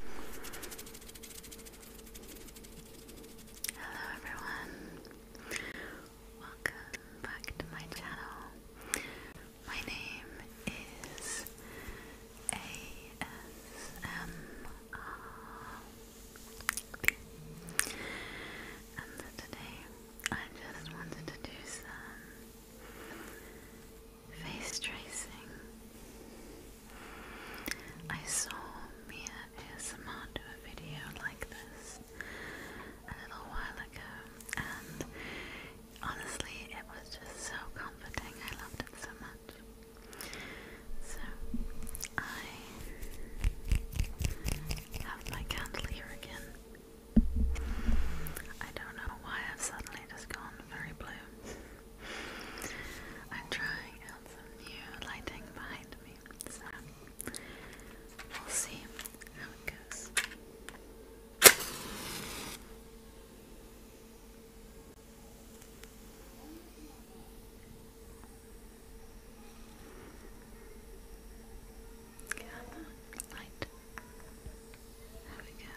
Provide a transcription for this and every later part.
Hello everyone, welcome back to my channel. My name is ASMRP and today I just wanted to do some face tracing. I saw Mia ASMR do a video like this a little while ago, and honestly, it was just so comforting. I loved it so much. So, I have my candle here again. I don't know why I've suddenly just gone very blue. I'm trying out some new lighting behind me, so we'll see how it goes. light. There we go.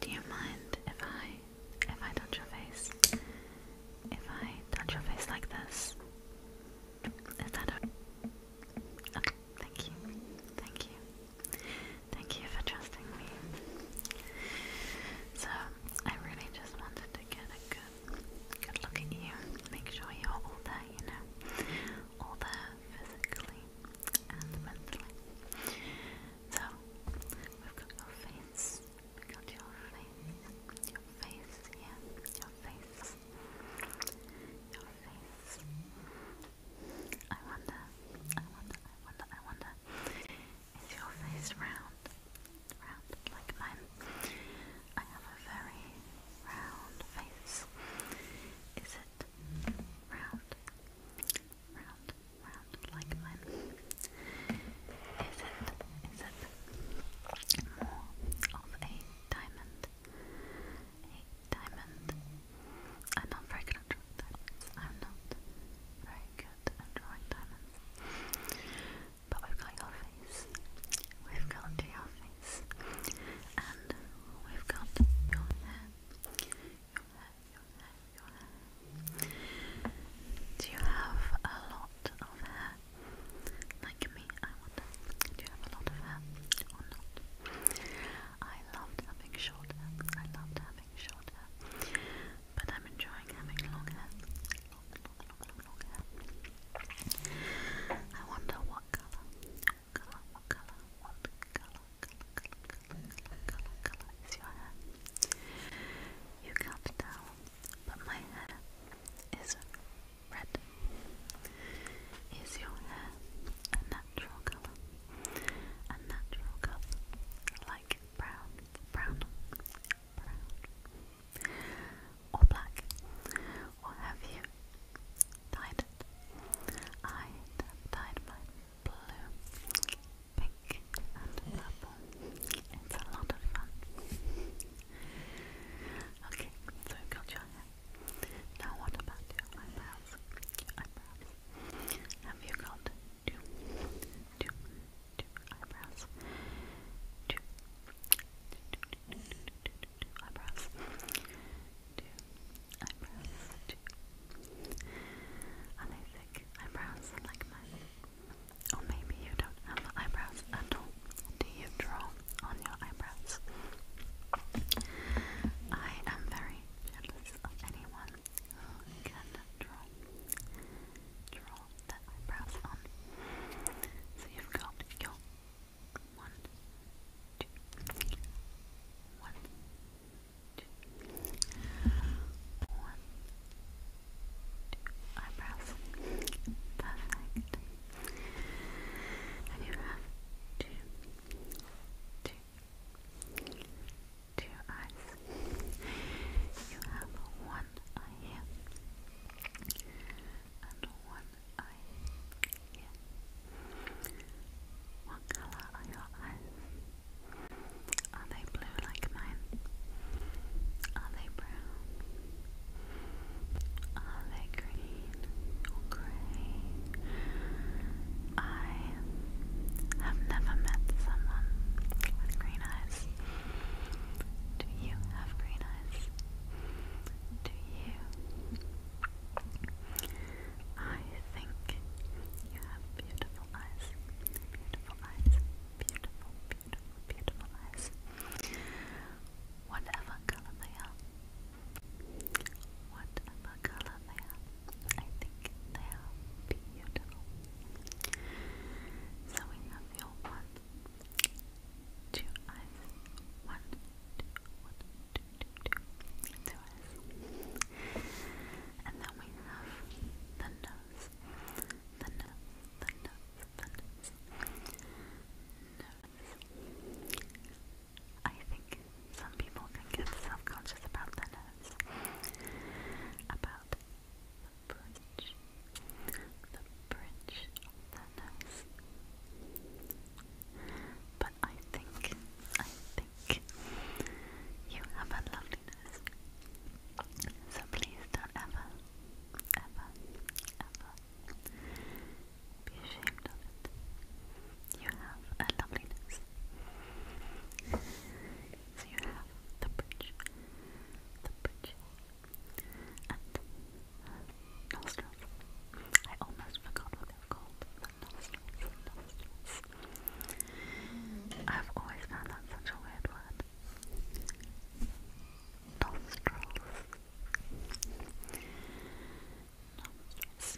Do you mind if I if I touch your face? If I touch your face like this? Is that a okay, thank you. Thank you. Thank you for trusting me. So I really just wanted to get a good good look at you. Make sure you're all there, you know, all there physically and mentally. So we've got your face, we've got your face, your face, yeah, your face, your face. I wonder, I wonder, I wonder, I wonder, is your face round? round like mine. I have a very round face. Is it round? Round, round like mine. Is it, is it more of a diamond? A diamond? I'm not very good at drawing diamonds. I'm not very good at drawing diamonds. But we've got your face, we've got your face, and we've got your hair. Your hair, your hair, your hair. Do you have a lot of hair? Like me, I wonder. Do you have a lot of hair or not? I loved having short hair. I loved having short hair but I'm enjoying having long hair. I wonder what colour, colour, colour, colour, colour, colour, colour, colour, is your hair? You can't tell, but my hair is red. Is your hair a natural colour? A natural colour, like brown, brown, brown, or black, or have you dyed it? I dyed mine blue, pink, and purple. It's a lot of fun. Okay, so we've got your hair. Now what about your eyebrows? eyebrows. Have you got two, two, two eyebrows, two, two, two eyebrows, two eyebrows, two. Are they thick eyebrows like mine? Or maybe you don't have eyebrows at all. Do you draw on your eyebrows? I am very jealous of anyone can draw, draw the eyebrows on. So you've got one, two, one, two, one, two eyebrows. Perfect. And you have two, two, two, two eyes. You have one eye and one eye What colour are your eyes? Are they blue like mine? Are they brown? Are they green or grey? I have never met someone with green eyes. Do you have green eyes? Do you? I think you have beautiful eyes. Beautiful eyes. Beautiful, beautiful, beautiful eyes. Whatever color they are. Whatever color they are. I think they are beautiful, so we have your one, two eyes, one, two, one, two, two, two, two eyes. And then we have the nose, the nose, the nose, the Nose. I think some people can get self-conscious about the nose. About the bridge, the bridge the nose. But I think, I think you have a lovely So please don't ever, ever, ever be ashamed of it. You have a lovely so you the bridge, the bridge, and nostrils. I almost forgot what they're called. nostrils, nostrils. I've always found that such a weird word. Nostrils. Nostrils.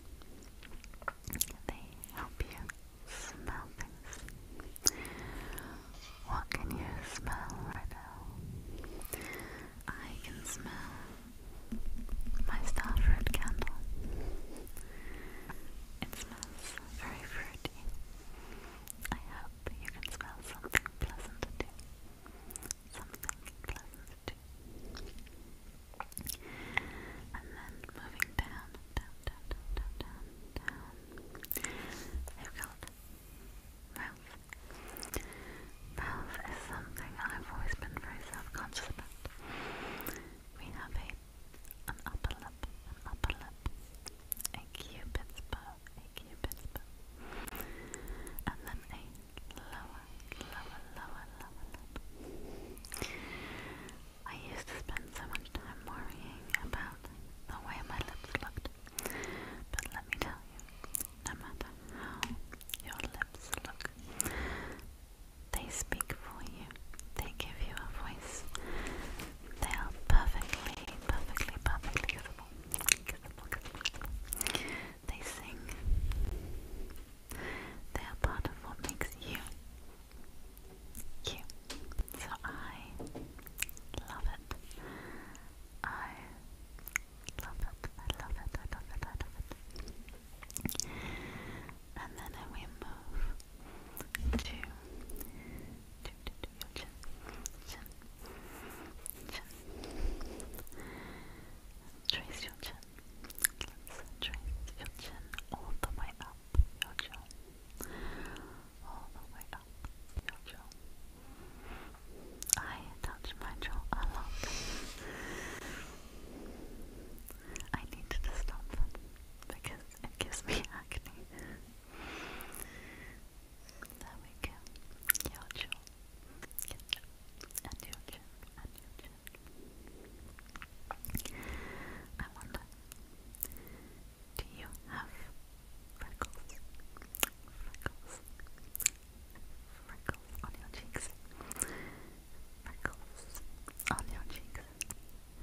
They help you smell things. What can you smell right now? I can smell my star candle. It smells very fruity. I hope you can smell something pleasant too. Something pleasant too. And then moving down down, down, down, down, down, down. they mouth. Mouth is something I've always been very self-conscious about. We have an upper lip, an upper lip, a cupid's bow, a cupid's bow, and then a lower, lower, lower, lower lip. I used to spend so much time worrying about the way my lips looked. But let me tell you, no matter how your lips look, they speak for you. They give you a voice. They are perfectly, perfectly, perfectly beautiful. They sing. They are part of what makes you cute. So I love it. I love it. I love it. I love it. I love it. And then we move to, to, to, to your chin, chin, chin. Trace your chin. trace your chin all the way up your jaw, all the way up your jaw. I touch my jaw a lot. I need to stop because it gives me acne. There we go. your jaw, and your jaw, and your jaw. I wonder, do you have freckles? Freckles. Freckles on your cheeks. Freckles on your cheeks.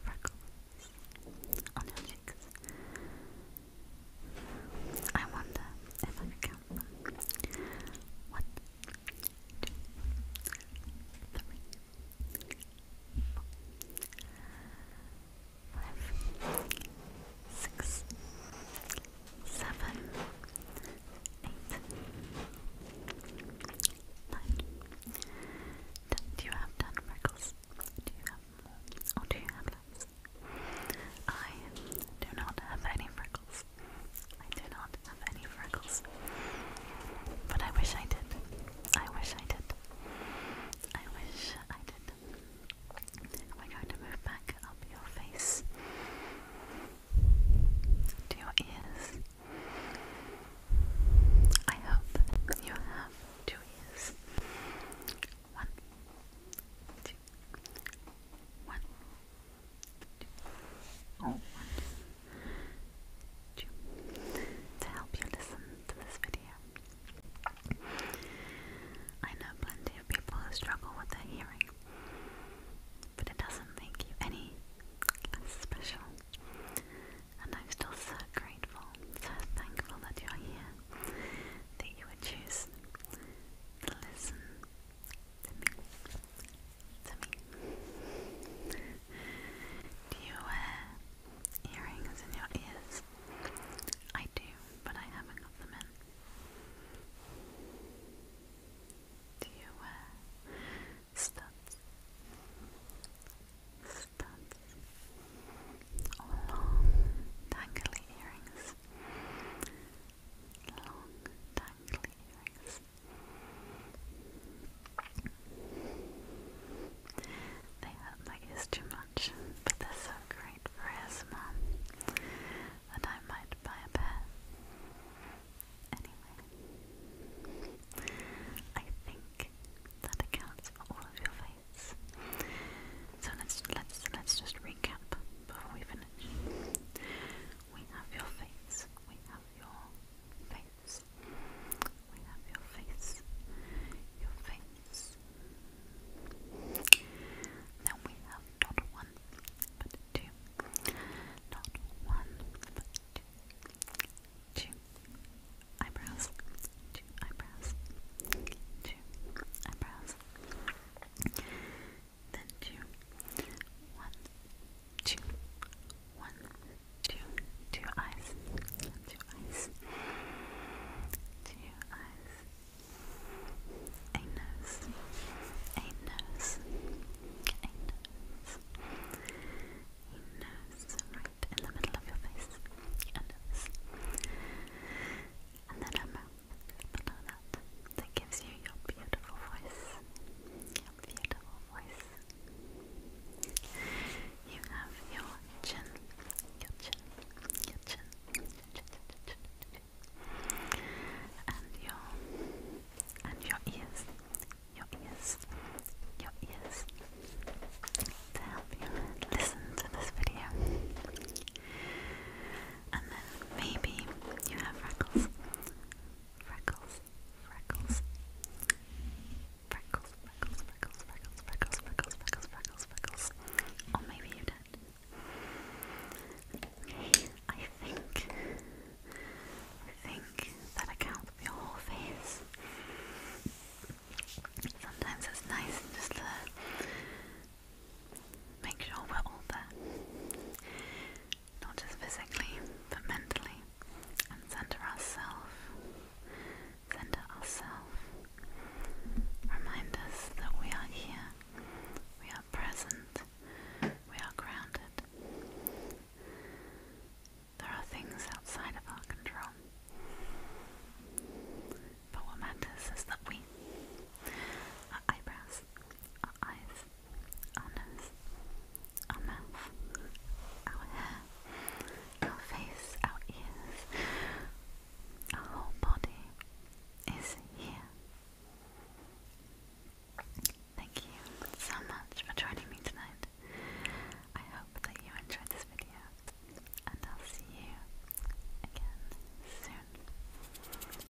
Freckles on your cheeks. I wonder if I could One, two, three, five, six, seven, eight, nine. Do you have ten freckles? Do you have Or do you have I do not have any freckles. I do not have any freckles. But I wish I did. I wish I did. I wish I did. We're going to move back up your face to your ears. I hope you have two ears. One, two, one, or to help you listen to this video. I know plenty of people who struggle with their hearing, but it doesn't make you any special. And I'm still so grateful, so thankful that you're here, that you would choose to listen to me to Do you wear uh, earrings in your ears? I do, but I haven't got them in. Do you wear uh, studs? Studs long dangly earrings? Long dangly earrings. They hurt my ears too much, but they're so great for ASMR that I might buy a pair. Anyway, I think that accounts for all of your faiths. So let's let's let's just recap before we finish. We have your faiths, we have your face. We have your face, your face. Then we have not one, but two. Not one, but two. Two eyebrows, two eyebrows, two eyebrows then two, one, two, one, two, two eyes, two eyes, two eyes, a nose, a nose, a nose, a nose right in the middle of your face, a nose, and then a mouth below that that gives you your beautiful voice, beautiful voice. You have your chin, your chin, your chin, and your and your ears, your ears, your ears to help you listen to this video. And then maybe you have freckles freckles, freckles, freckles, freckles, freckles, freckles, freckles, freckles, freckles, Or oh, maybe you did. Okay, I think, I think that accounts for your whole face. Sometimes it's nice just to uh, make sure we're all there not just physically, but mentally, and center ourselves. Center ourselves. Remind us that we are here, we are present, we are grounded. There are things outside of our control. But what matters is that we, our eyebrows, our eyes, our nose, our mouth, our hair, our face, our ears, our whole body is here. Thank you so much for joining me tonight. I hope that you enjoyed this video, and I'll see you again soon.